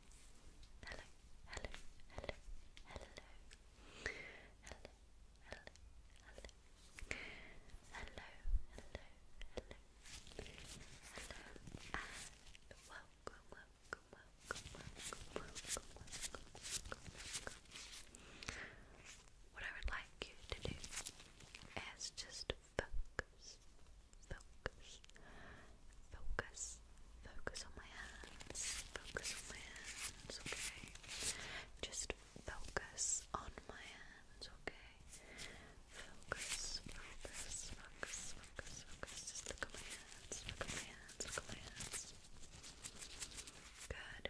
hello, hello, hello, hello, hello, hello, hello, hello, hello, hello, and welcome, welcome, welcome, welcome, welcome, welcome, welcome. What I would like you to do is just focus, focus, focus, focus on my hands, focus on my hands, okay? Just focus on my hands, okay? Focus, focus, focus, focus, focus. Just look at my hands, look at my hands, look at my hands. Good.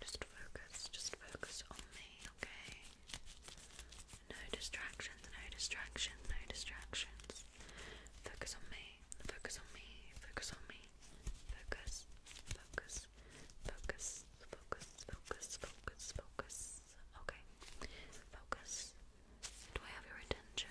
Just focus, just focus on me, okay? No distractions, no distractions, no distractions. Focus on me, focus on me, focus on me. Focus, focus, focus, focus, focus, focus, focus. Okay, focus. Do I have your attention?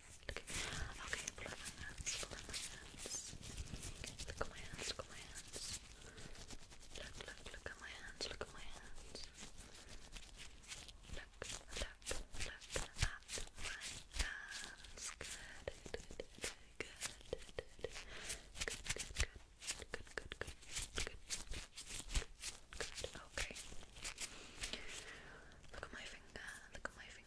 Okay, okay, my hands, Look at my hands, look at my hands. Look, look, look at my hands, look at my hands. Look, look, look at my hands. Good, good, good, good, good, good, good, good, good, good, good. Okay. Look at my finger, look at my finger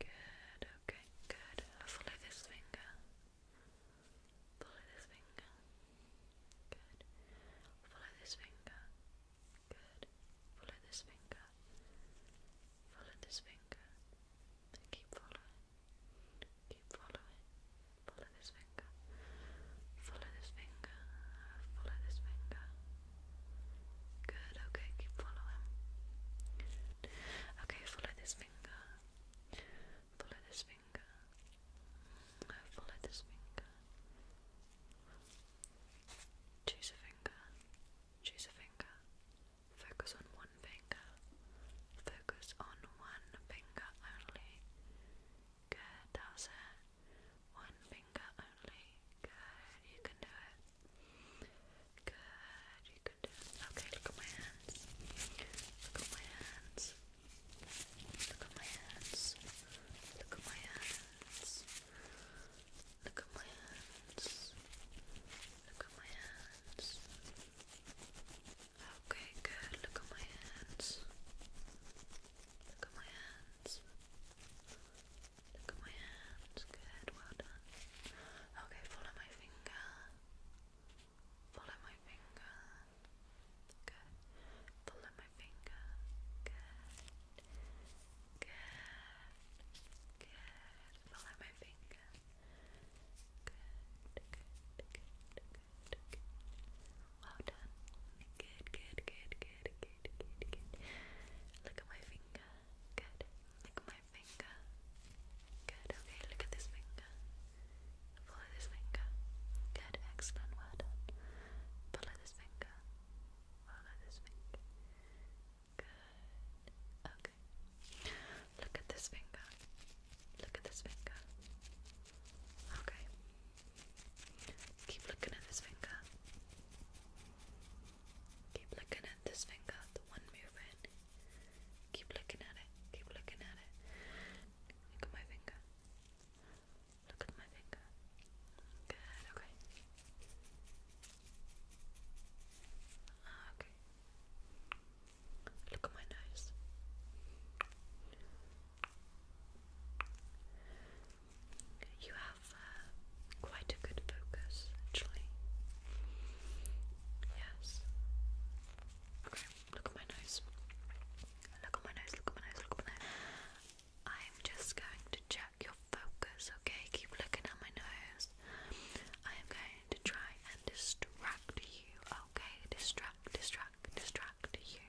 Good, okay, good. Follow this finger. Follow this finger. Good. Follow this finger. Good. Follow this finger. Follow this finger. keep following. Keep following. Follow this finger. Follow this finger. Follow this finger. Good, okay, keep following. Okay, follow this finger. Follow this finger. Follow this finger. Choose a finger. Choose a finger. Focus on one finger. Focus on one finger only. Good, that's it. One finger only. Good, you can do it. Good, you can do it. Okay, look at my hands. Look at my hands. Look at my hands. Look at my hands. Look at my hands. Look at my hands. Okay, good. Look at my hands. Look at my hands. Look at my hands. Good, well done. Okay, follow my finger. Follow my finger. Good. Follow my finger. Good. Good. Good. Follow my finger. Good. Good. Good. Good. Good. Well done. Good. Good. Good. Good. Good. Good. Look at my finger. Good. Lick my finger. Good. Okay, look at this finger. Follow this finger. Good. Excellent. Well done. Follow this finger. Follow this finger. Good. Okay. Look at this finger. Look at this finger. Okay. Keep looking at this finger. Keep looking at this finger, the one moving. Keep looking at it, keep looking at it. Look at my finger. Look at my finger. Good, okay. Ah, okay. Look at my nose you have uh, quite a good focus, actually. Yes. Okay, look at my nose. Look at my nose, look at my nose, look at my nose. I'm just going to check your focus, okay? Keep looking at my nose. I am going to try and distract you, okay? Distract, distract, distract you.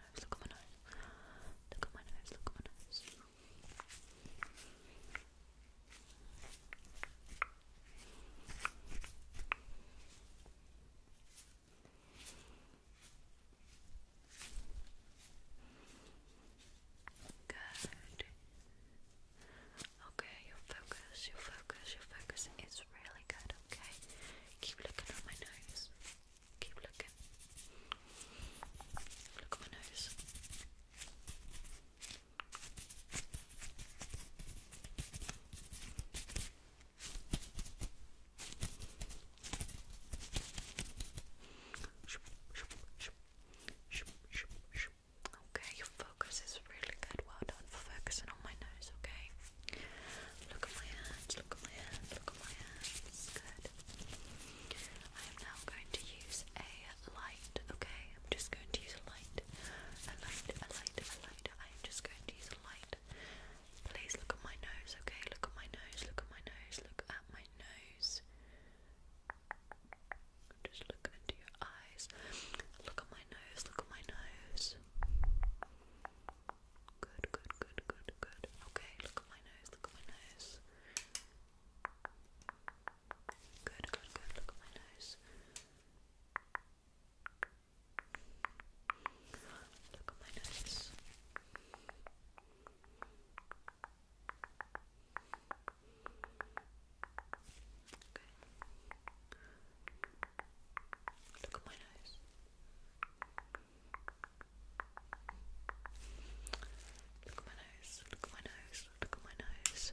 nose, look at my nose. Look at my nose, look at my nose. Good. Okay, your focus, your focus, your focus is really good, okay? Keep looking at my nose. Keep looking. Look at my nose. Okay, your focus is really good. Well done for focusing on my nose, okay? Look at my hands, look at my hands, look at my hands. Good. I am now going to use a light, okay? I'm just going to use a light. A light, a light, a light. I am just going to use a light. Please look at my nose, okay? Look at my nose, look at my nose, look at my nose. Just look into your eyes. Look at my nose, look at my nose. Good, good, good, good, good. Okay, look at my nose, look at my nose. Good, good, good, look at my nose. Look at my nose. Okay. Look at my nose. Look at my nose, look at my nose, look at my nose.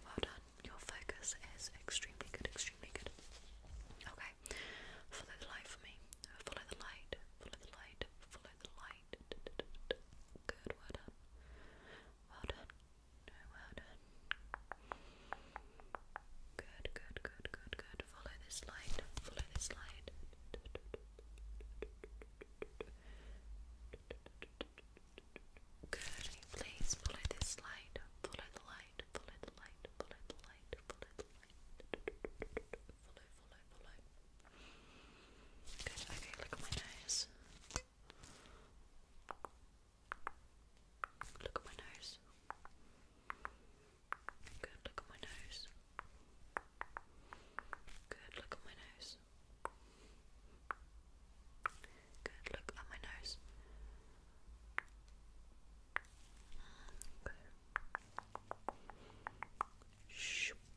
Well done, your focus is extremely good, extremely good. Okay, follow the light for me. Follow the light, follow the light, follow the light. Good, well done. Well done. Good, good, good, good, good. Follow this light. Follow this light. Good. Please follow this light. Follow the light. Follow the light. Follow the light. Follow the light. Follow, follow, follow. Good. Okay, look at my nose. Look at my nose. Good, look at my nose. Good, look at my nose. Good, look at my nose. Good. Mm,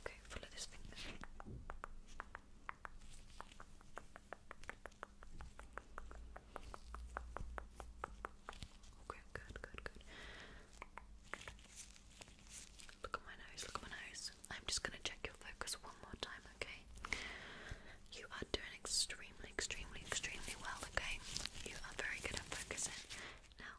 Okay, follow this thing. Okay, good, good, good. Look at my nose, look at my nose. I'm just gonna check your focus one more time, okay? You are doing extremely, extremely, extremely well, okay? You are very good at focusing. Now,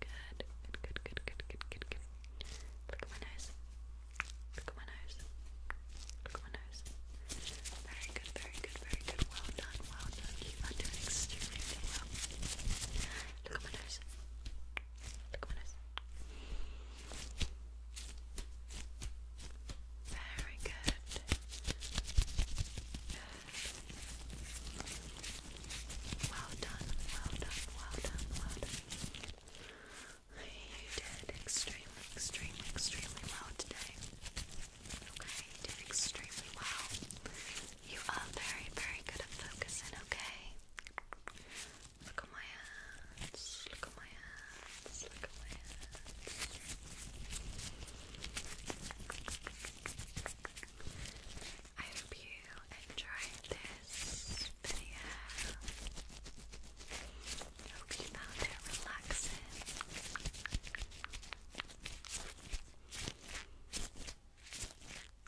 Good, good, good, good, good, good, good, good. Look at my nose. Look at my nose. Look at my nose. Very good, very good, very good. Well done, well done. You are doing extremely well. Look at my nose. Look at my nose. Very good. Very well done, well done, well done, well done. You did extremely, extremely, extremely well today. Okay, you did extremely well. You are very, very good at focusing, okay? Look at my hands, look at my hands, look at my hands. I hope you enjoyed this video. I hope you found it relaxing.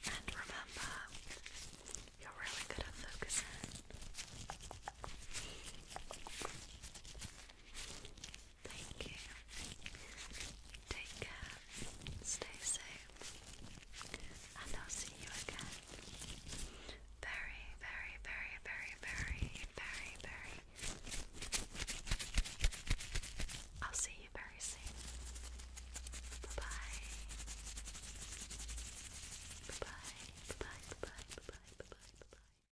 And remember, you're really good at focusing. Thank you. Take care. Stay safe. And I'll see you again very, very, very, very, very, very, very. I'll see you very soon. Bye bye. Bye bye. Bye bye. Bye bye. Bye bye. Bye bye.